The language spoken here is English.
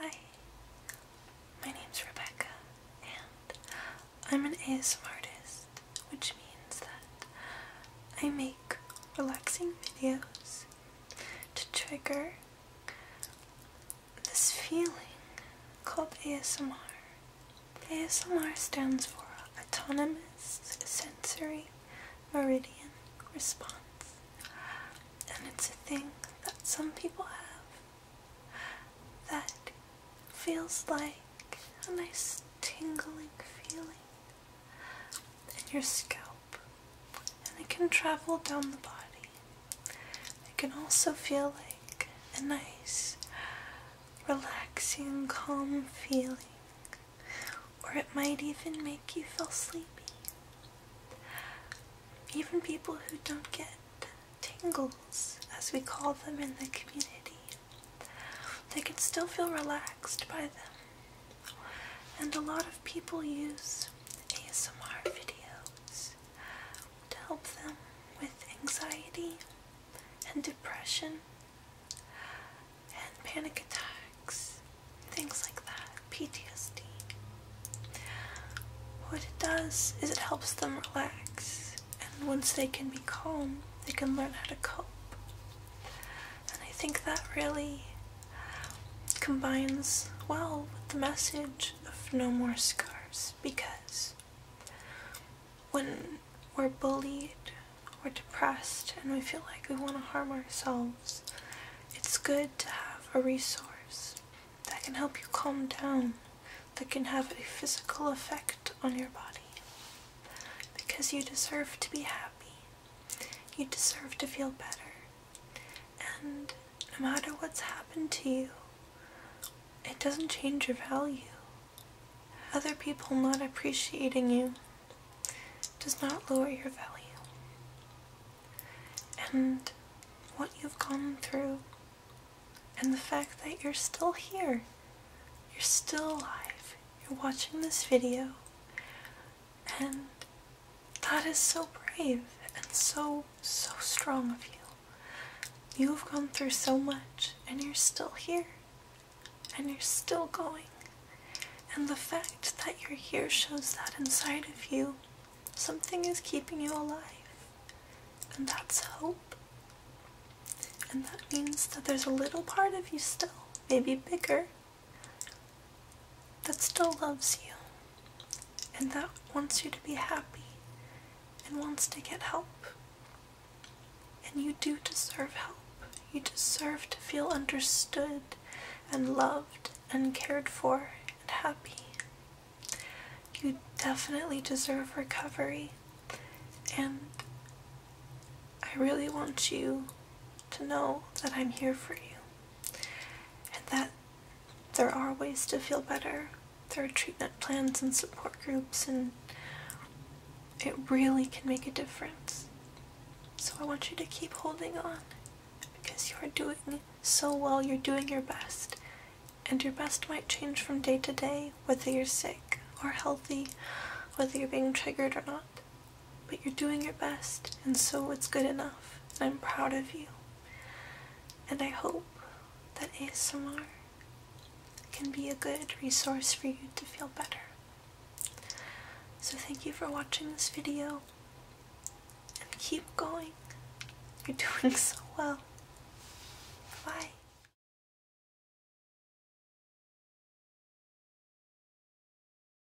Hi, my name's Rebecca, and I'm an ASMR artist, which means that I make relaxing videos to trigger this feeling called ASMR ASMR stands for Autonomous Sensory Meridian Response, and it's a thing that some people have that feels like a nice tingling feeling in your scalp, and it can travel down the body. It can also feel like a nice relaxing, calm feeling, or it might even make you feel sleepy. Even people who don't get tingles, as we call them in the community, they can still feel relaxed by them. And a lot of people use ASMR videos to help them with anxiety and depression and panic attacks, things like that, PTSD. What it does is it helps them relax, and once they can be calm, they can learn how to cope. And I think that really combines well with the message of no more scars because when we're bullied we're depressed and we feel like we want to harm ourselves, it's good to have a resource that can help you calm down, that can have a physical effect on your body. Because you deserve to be happy, you deserve to feel better, and no matter what's happened to you, it doesn't change your value. Other people not appreciating you does not lower your value. And what you've gone through, and the fact that you're still here, you're still alive, you're watching this video, and that is so brave and so, so strong of you. You've gone through so much and you're still here and you're still going. And the fact that you're here shows that inside of you something is keeping you alive. And that's hope. And that means that there's a little part of you still, maybe bigger, that still loves you and that wants you to be happy and wants to get help. And you do deserve help. You deserve to feel understood and loved and cared for and happy. You definitely deserve recovery, and I really want you to know that I'm here for you and that there are ways to feel better. There are treatment plans and support groups, and it really can make a difference. So I want you to keep holding on because you are doing so well, you're doing your best. And your best might change from day to day, whether you're sick or healthy, whether you're being triggered or not. But you're doing your best, and so it's good enough. I'm proud of you. And I hope that ASMR can be a good resource for you to feel better. So thank you for watching this video. And keep going. You're doing so well. Bye.